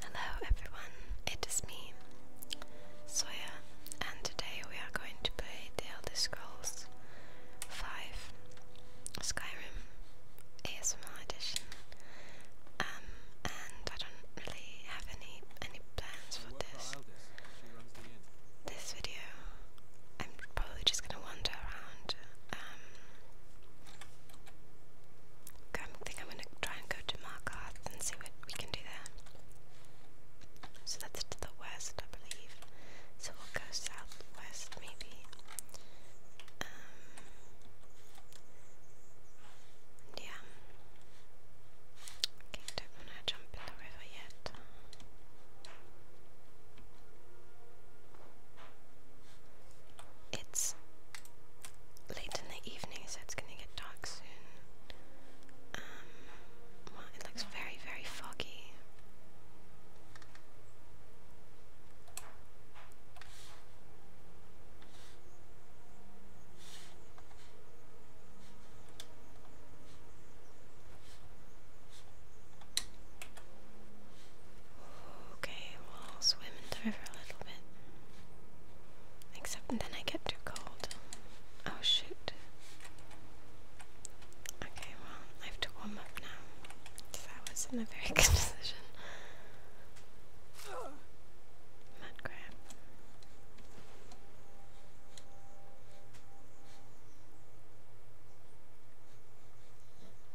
Hello everyone, it is me, Soya, and today we are going to play The Elder Scrolls 5 Skyrim ASML Edition. Um, and I don't really have any any plans for this this video. I'm probably just gonna wander around um, I think I'm going to try and go to Markarth and see what we can do there. So that's to the west, I believe. So we'll go southwest, maybe. Um, yeah. Okay, don't want to jump in the river yet. It's late in the evening, so it's gonna get dark soon. Um, well, it looks very, very foggy. Okay, well, will swim in the river a little bit. Except then I get too cold. Oh shoot. Okay, well, I have to warm up now. That wasn't a very good decision. Mud crab.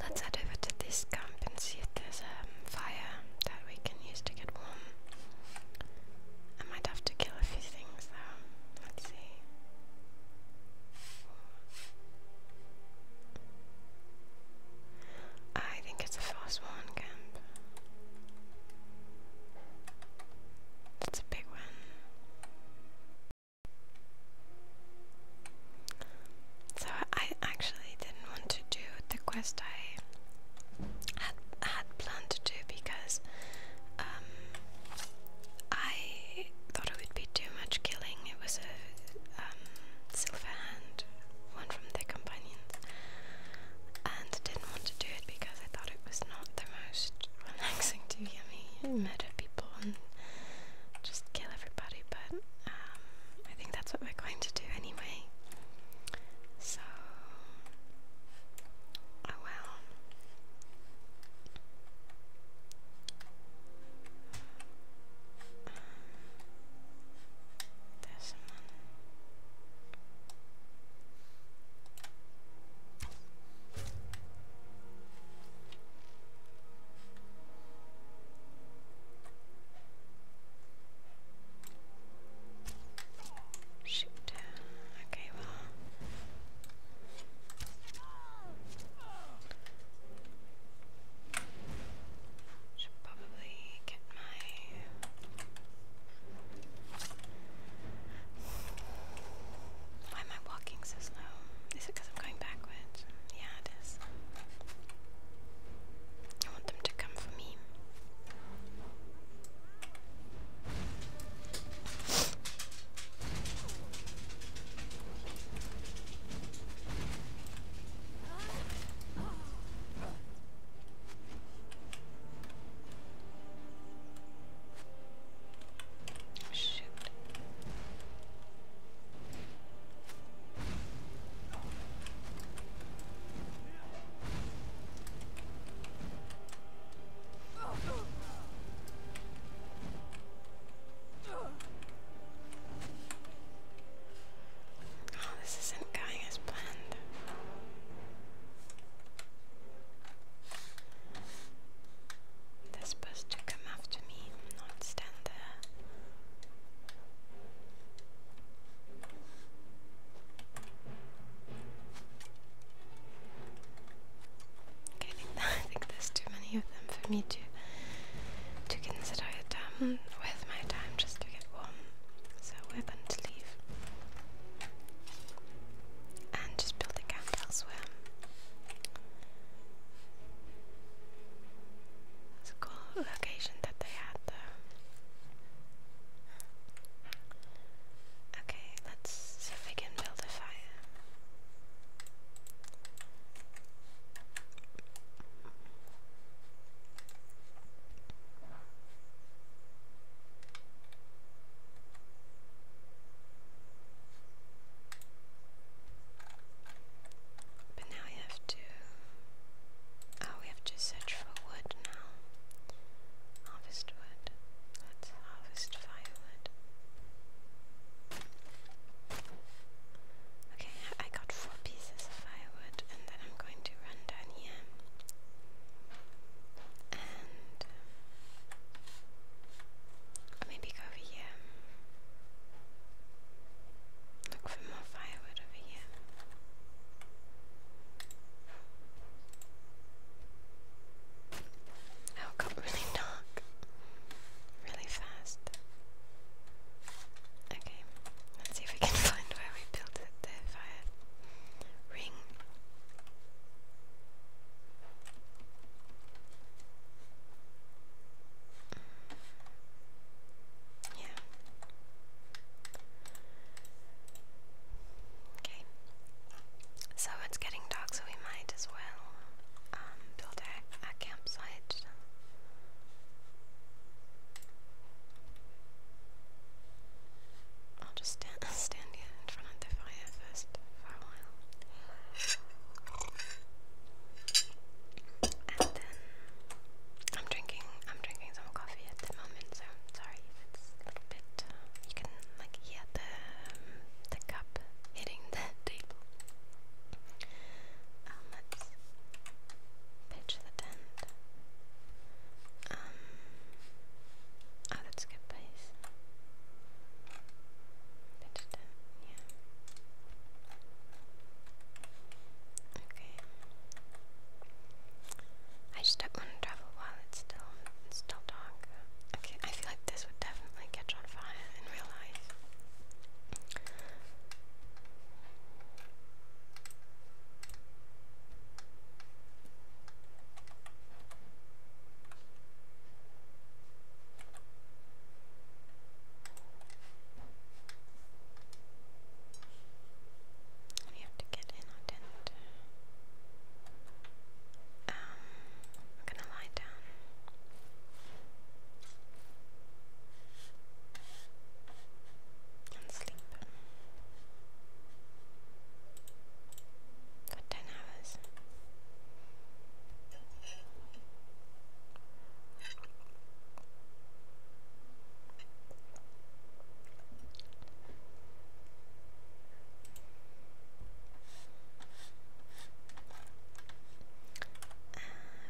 Let's head over to this camp and see if there's a um, fire that we can use to get warm. I might have to kill a few things though. Let's see. I think it's a fast one camp. It's a big one. So I actually didn't want to do the quest I had, planned to do because um, I thought it would be too much killing. It was a um, silver hand, one from the companions, and I didn't want to do it because I thought it was not the most relaxing to hear me murder people just kill everybody, but um, I think that's what we're going to do anyway. So, oh well. There's someone. Shoot. Okay, well. Should probably get my why am I walking so slow? Is it because I'm going backwards? Yeah, it is. I want them to come for me. Shoot. Oh, this isn't going as planned. They're supposed to come after me, not stand there Okay, I think, there's too many of them for me to to consider it um, my time just to get one. So we're going to leave and just build a camp elsewhere. It's a cool location that they had though. Okay, let's see if we can build a fire. But now we have to. Oh, we have to search for wood now. Harvest wood. let harvest firewood. Okay, I got four pieces of firewood, and then I'm going to run down here. And. maybe go over here. Look for more firewood over here. Oh, it got really dark. Really fast. Okay, let's see if we can find where we built it, fire ring. Yeah. Okay. So it's getting dark, so we might as well um, build a campsite. I'll just stand, stand here in front of the fire for a while. And then I'm drinking. I'm drinking some coffee at the moment, so I'm sorry if it's a little bit. Uh, you can like hear the um, the cup hitting the table. Um, pitch the tent. Um, oh, that's a good place. Pitch tent. Yeah. Okay. I just don't want to travel while it's still it's still dark. Okay, I feel like this would definitely catch on fire in real life. We have to get in our tent. Um, I'm gonna lie down. And sleep. For ten hours. Uh,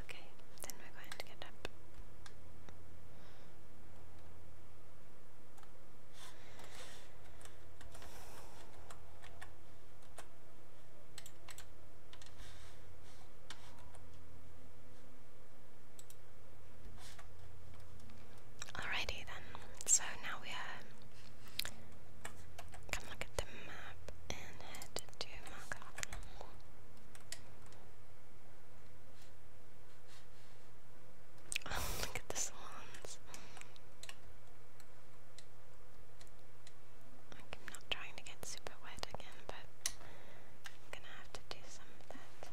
okay, then we're going to get up. Alrighty then, so now we uh, can look at the map and head to Malcolm. Oh, look at the swans. I'm not trying to get super wet, again, but I'm gonna have to do some of that. Um.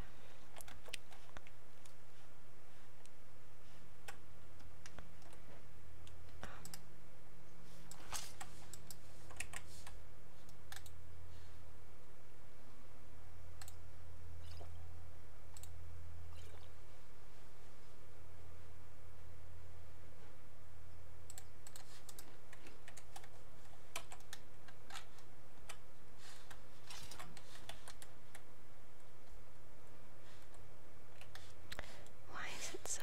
Why is it so?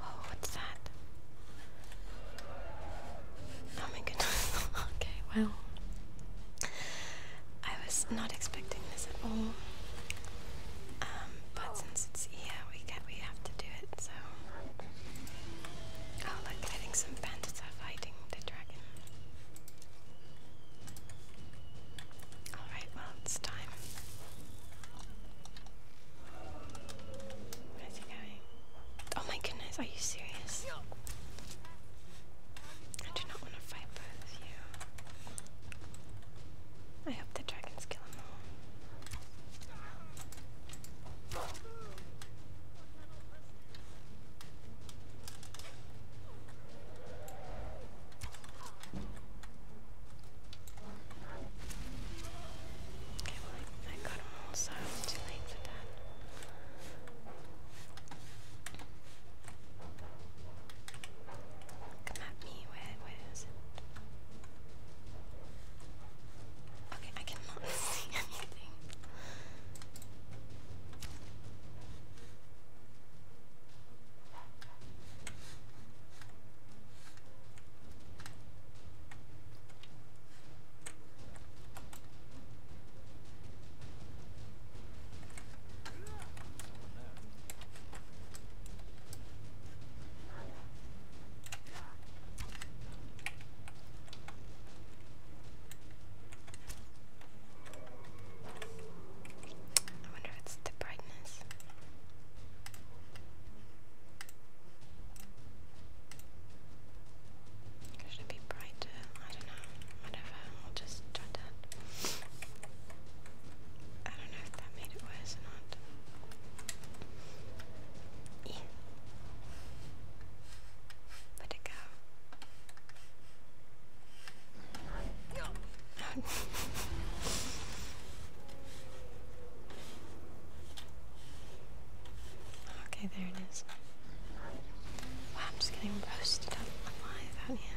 Oh, what's that? Oh my goodness. okay, well. I was not expecting this at all. Um, but since it's here, we can we have to do it. So, oh look, I some bandits are fighting the dragon. All right, well it's time. Where's he going? Oh my goodness, are you serious? I do not want to fight I hope the dragons kill them all. Okay, well, I, got them all, so too late for that. Come at me, where, where is it? Okay, I cannot see anything. I wonder if it's the brightness. Should it be brighter? I don't know. Whatever. I'll just I don't know if that made it worse or not. Yeah. it go? okay, there it is. I'm just getting roasted alive out here.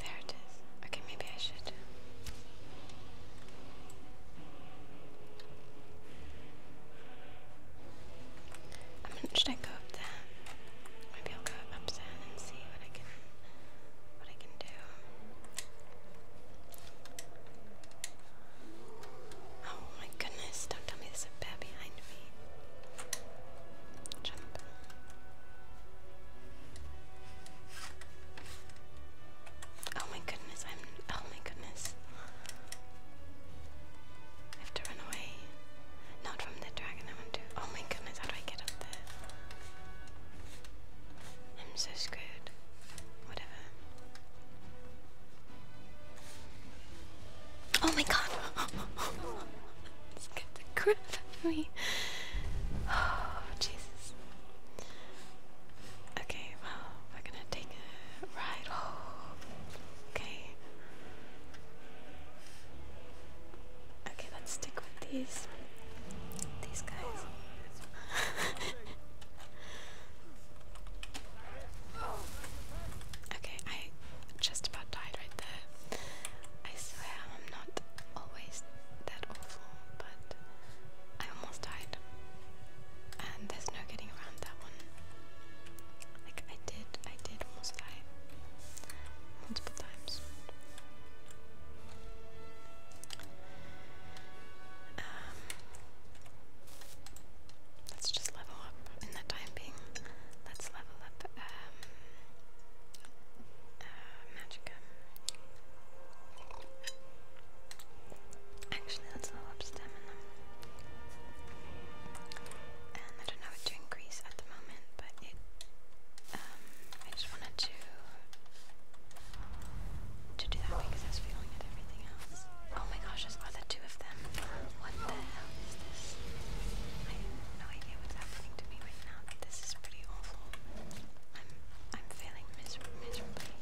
There it is. Okay, maybe I should. Um, should I go up there? Maybe I'll go up there and see what I can what I can do. Oh my goodness, don't tell me there's a bear behind me. Jump. Oh my goodness, I'm oh my goodness. I have to run away. Not from the dragon I want to oh my goodness, how do I get up there? I'm so screwed. Whatever. Oh my god! Scared the crap for Oh, Jesus. Okay, well, we're gonna take a ride. Oh, okay. Okay, let's stick with these. These guys. okay, I just about died right there. I swear. I'm not always that awful, but I almost died. And there's no getting around that one. Like I did, I did almost die. Multiple times. Um, let's just level up in the time being. Let's level up um, uh, Magica. Actually, let's level up And I don't know what to increase at the moment, but it. Um, I just wanted to to do that because I was feeling everything else. Oh my gosh, there's other two of them. What the hell is this? I have no idea what's happening to me this is pretty awful. I'm I'm failing miserably.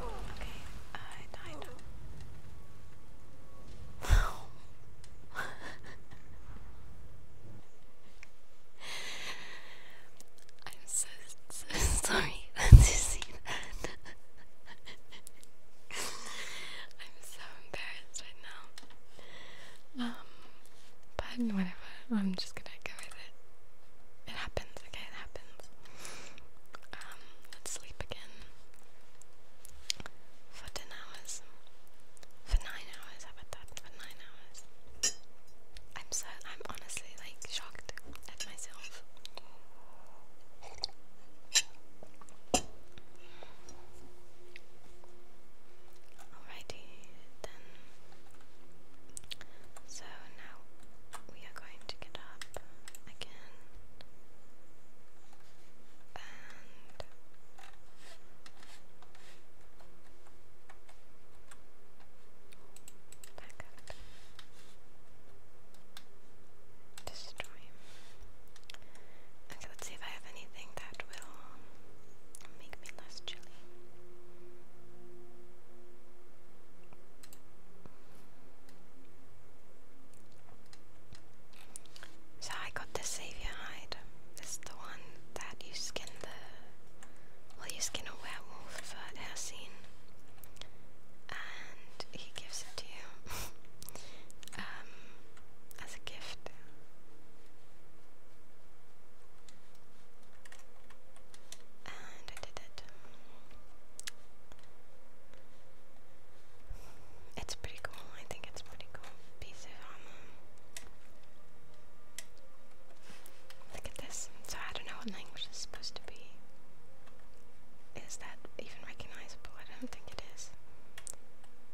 Okay, I died. Oh. I'm so so sorry to see that. I'm so embarrassed right now. Um, but whatever. I'm just gonna go with it. It happens, okay? It happens. Um, let's sleep again for 10 hours. For 9 hours, how about that? For 9 hours. I'm so, I'm honestly like shocked at myself. Alrighty then. So now we are going to get up again and back up. Destroy Okay, let's see if I have anything that will make me less chilly. So I got the savior hide. This the one that you skin the well you skin a werewolf for Air scene. And he gives it to you um, as a gift. And I did it. It's pretty cool. I think it's pretty cool piece of armor. Um, look at this. So I don't know what language it's supposed to be. Is that even recognizable? I don't think it is.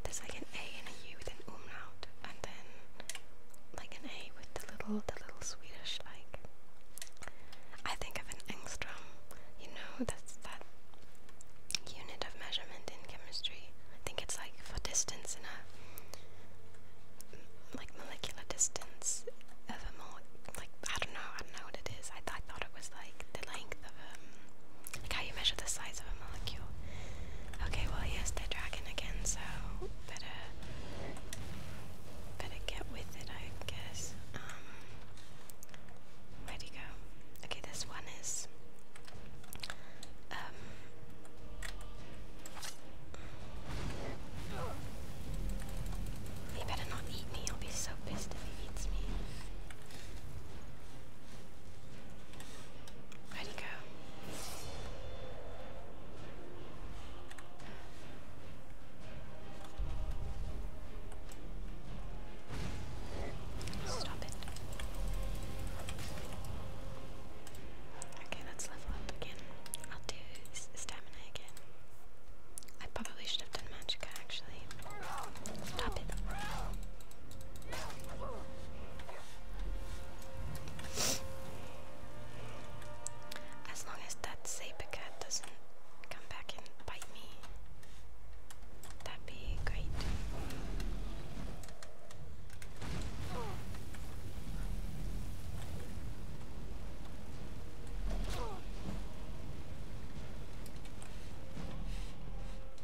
There's like an A and a U with an umlaut, and then like an A with the little, the little Swedish like. I think of an angstrom. You know, that's that unit of measurement in chemistry. I think it's like for distance in a like molecular distance of a more like I don't know I don't know what it is I thought thought it was like the length of um, like how you measure the size of a molecule. Okay, well yes, they dragon again, so better, better get with it, I guess. Um, go? Okay, this one is, um, he better not eat me, I'll be so pissed if he eats me. Where'd go? Stop it. Okay, let's level up again. I'll do stamina again. I probably should have done magic actually. Stop it. As long as that Sabercat doesn't come back and bite me, that'd be great.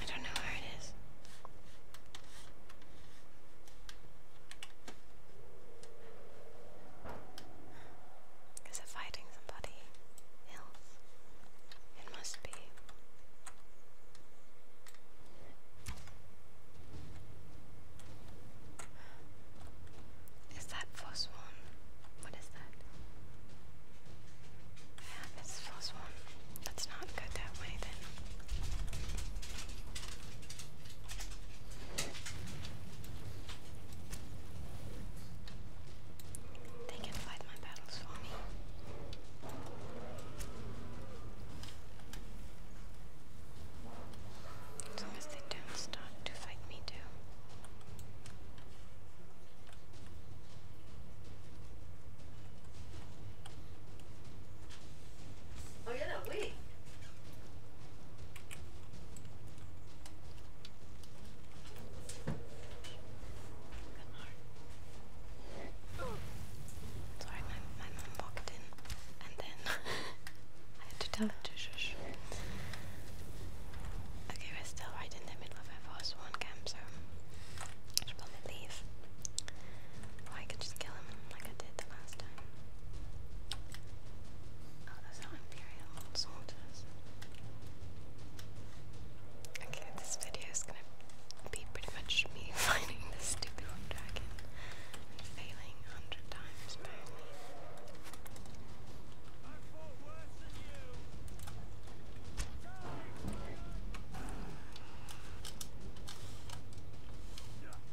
I don't know where it is. Is it fighting somebody it must be. Is that first one? What is that? Yeah, it's first one. let not go that way then. They can fight my battles for me. As long as they don't start to fight me too. Oh yeah, we. Sorry, my, my mom walked in and then I had to tell her to shush. Okay, we're still right in the middle of a one camp, so I should probably leave. Or I could just kill him like I did the last time. Oh, those Imperial soldiers. Okay, this video is gonna be pretty much me finding this stupid dragon failing a hundred times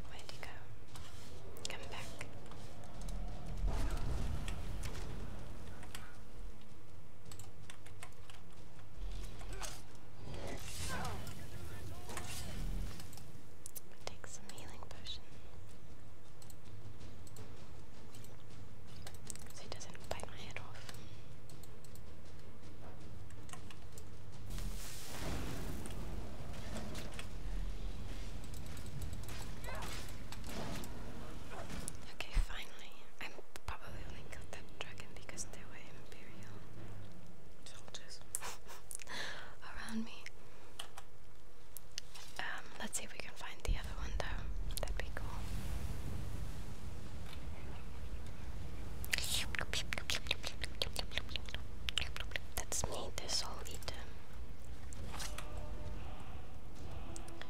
Where'd you go? Come back. Take some healing potion. So he doesn't bite my head off. Okay, finally. i probably only killed that dragon because there were Imperial soldiers around me. Um, let's see if we can find the other one though. That'd be cool. That's me, the soul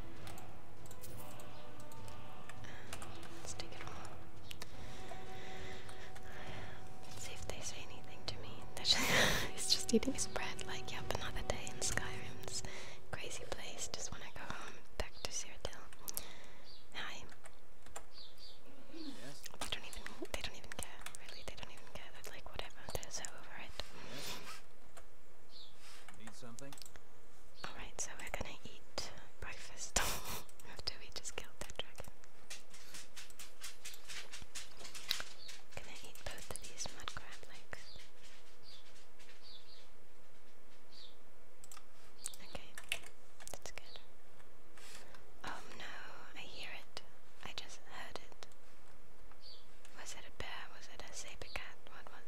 let it all. See if they say anything to me. Just it's just eating his bread, like, yep, another day in Skyrim's crazy place. Just wanna go home, back to Cyrodiil. Hi. Yes. They don't even, they don't even care, really, they don't even care. They're like, whatever, they're so over it something? Alright, so we're gonna eat breakfast after we just killed that dragon. Gonna eat both of these mud crab legs. Okay, that's good. Oh no, I hear it. I just heard it. Was it a bear? Was it a saber cat? What was was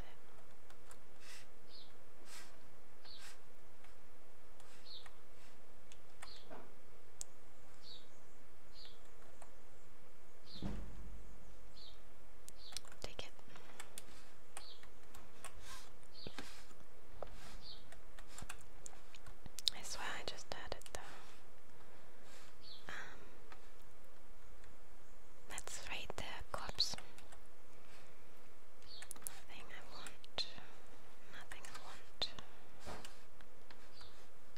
it? Take it. I swear I just heard it let's read the collapse. Nothing I want. Nothing I want.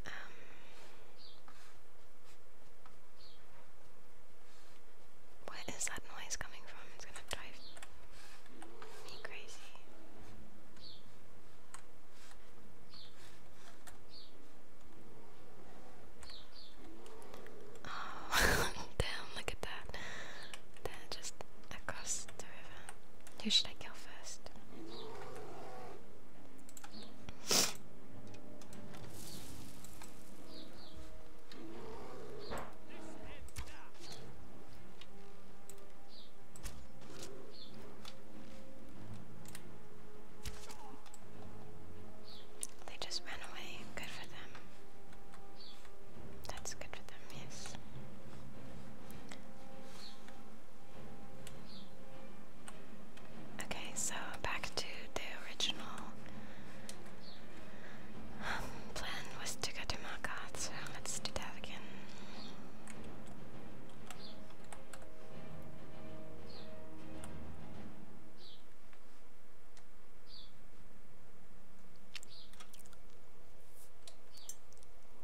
Um. Where is that noise coming from? It's gonna drive me crazy. Oh, Damn, look at that. That just across the river. Who should I kill first? They just ran away. Good for them. That's good for them, yes. Okay, so back to the original um, plan was to go to Margot, so let's do that again.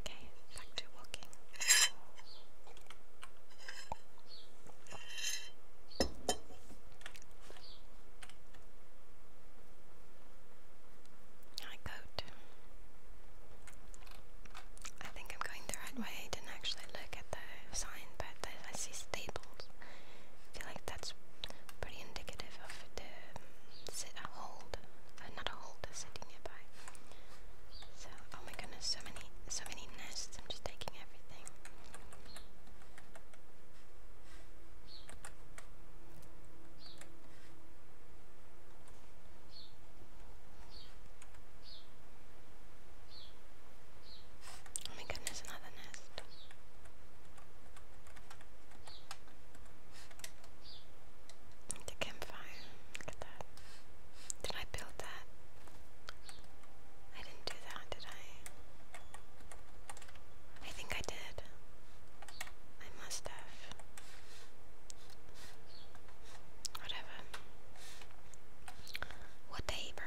Okay, back to walking. I goat. I think I'm going the right way. I didn't actually look at the sign sign that, that I see stables. I feel like that's pretty indicative of the um, sit a hold, uh, not a hold, a city nearby. So, oh my goodness, so many, so many nests. I'm just taking everything. Oh my goodness, another nest. The campfire. Look at that. Did I build that? I didn't do that, did I? I think I did. I must have. Whatever. Whatever.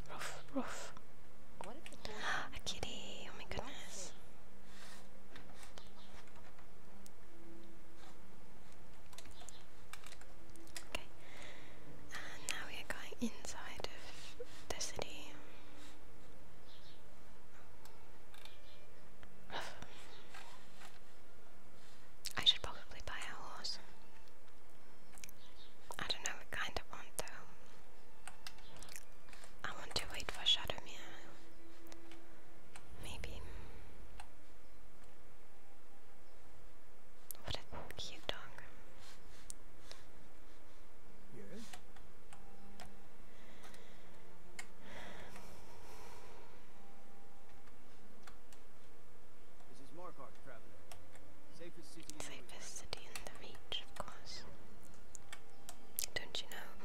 Ruff, ruff. A kitty, oh my goodness. Okay, now we are going inside of the city. I should probably buy a horse. I don't know, what kind of want though. I want to wait for Shadowmere. Maybe. What a cute dog. Yeah. This is Markarth, Travis. Safest city, city in the reach, of course. Don't you know?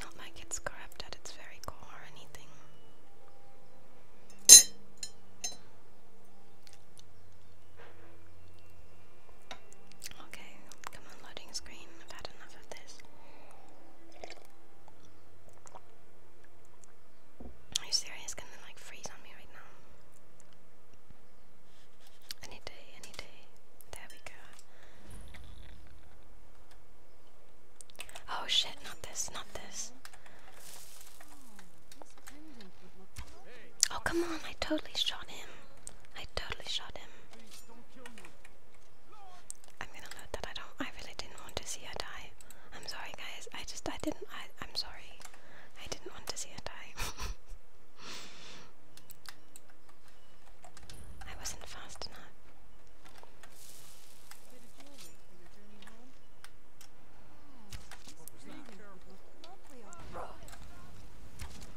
Not like it's corrupt at its very core or anything. Okay, come on, loading screen. I've had enough of this. Are you serious? Can they like freeze on me right now? Any day, any day. There we go. Oh shit, not this, not this. Oh, come on, I totally shot him. I totally shot him. I'm gonna note that I don't. I really didn't want to see her die. I'm sorry, guys. I just. I didn't. I. I'm sorry. I didn't want to see her die. I wasn't fast enough.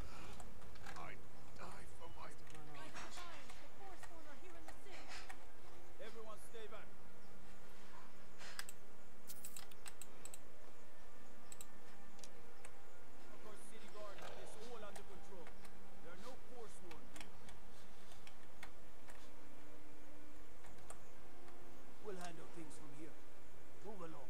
I die for my Everyone stay back. Of course, City Guard have this all under control. There are no forsworn here. We'll handle things from here. Move along.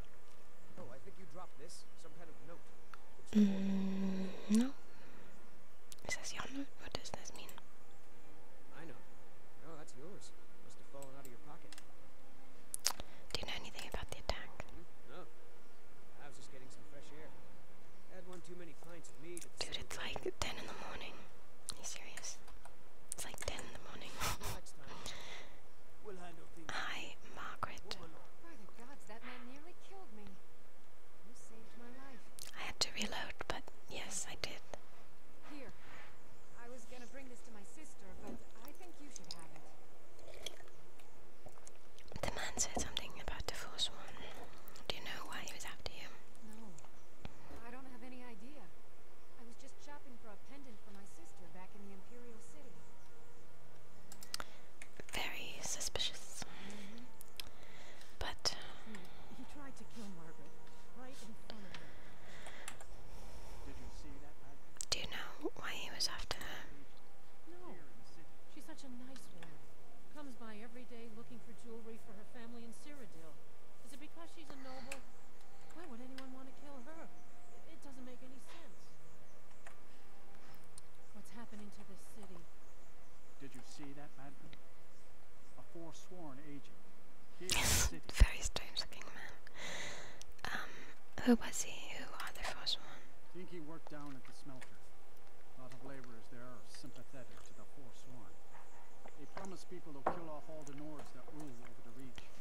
Oh, I mm, no. Is this your note? What does this mean? I know. No, that's yours. Must have fallen out of your pocket. Do you know anything about the attack? Hmm? was just getting some fresh air. I had one too many pints of meat. Dude, it's like 10 in the morning. Are you serious? It's like 10 in the morning. Hi, Margaret. I had to reload, but yes, I did. The man said something about the first one. Do you know why he was after you? No. I don't have any idea. I was just shopping for a pendant for my sister back in the very suspicious. But uh, Do you know why he was after her? No. She's such a nice woman. Comes by every day looking for jewelry for her family in Cyrodiil. Is it because she's a no available? Very strange looking man. Um, who was he? Who are the forsworn? I think he worked down at the smelter. A lot of laborers there are sympathetic to the forsworn. They promise people to kill off all the Nords that rule over the Reach.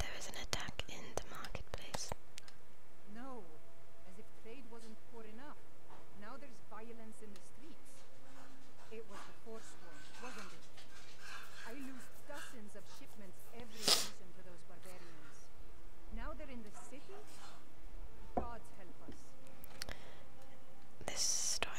There is an attack in the marketplace. No, as if trade wasn't poor enough. Now there's violence in the streets. It was the force wasn't it? I lose dozens of shipments every season to those barbarians. Now they're in the city? God help us. This store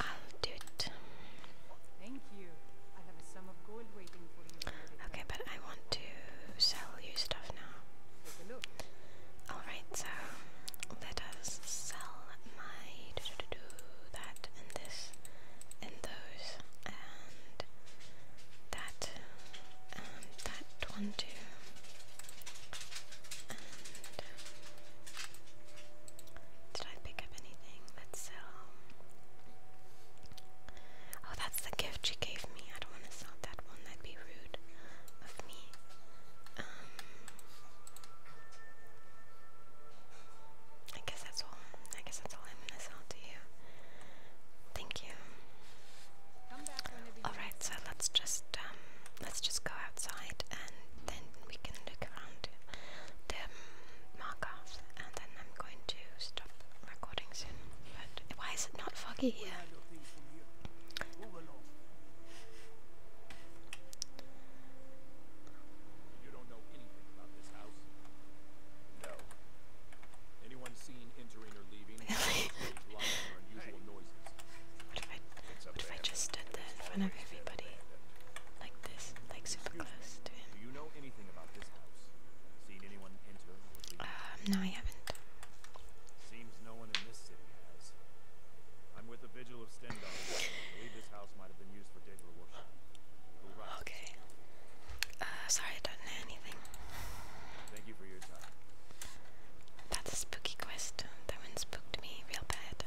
I'll do it. Thank you. Okay, but I want to sell you stuff now. Alright, so let us sell my that and this and those and that and um, that one too. Did I pick up anything? Let's sell. Um, oh, that's the gift she gave me. I don't want to sell that one. That'd be rude of me. Um, I guess that's all. I guess that's all I'm gonna sell to you. Thank you. All right, so let's just um, let's just go outside and then we can look around the markers and then I'm going to stop recording soon. But why is it not foggy here? Anyone seen entering or leaving? what if I just stood there in front of everybody? like this, like super close uh, no, I haven't. Seems no one in this city has. I'm with a vigil of Stendhal. I believe this house might have been used for devil worship. Okay. Uh, sorry, I don't know anything. Thank you for your time. That's a spooky quest. That one spooked me real bad.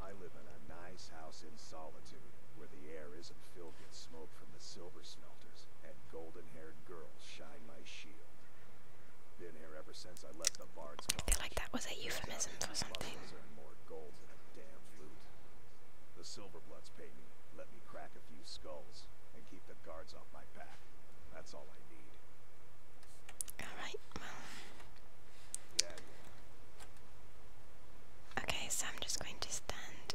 I live in a nice house in solitude, where the air isn't filled with smoke from the silver smelters, and golden-haired girls shine my shield. Been here ever since I left the Bard's College. I feel like that was a euphemism for something. Earn more gold pay me, let me crack a few skulls, and keep the guards off my back. That's all I need. Okay, so I'm just going to stand,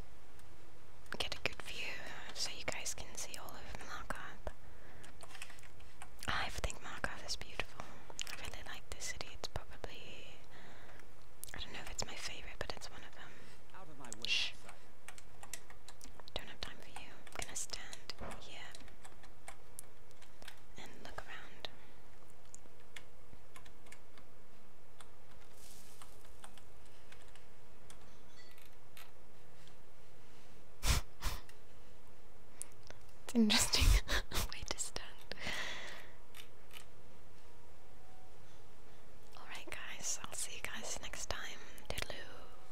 get a good view so you guys can see all of Markarth. I think Markarth is beautiful. I really like this city. It's probably, I don't know if it's my favorite, but it's one of them. Shh. Don't have time for you. I'm gonna stand here and look around. it's interesting way to stand. Alright guys, I'll see you guys next time. Toodaloo!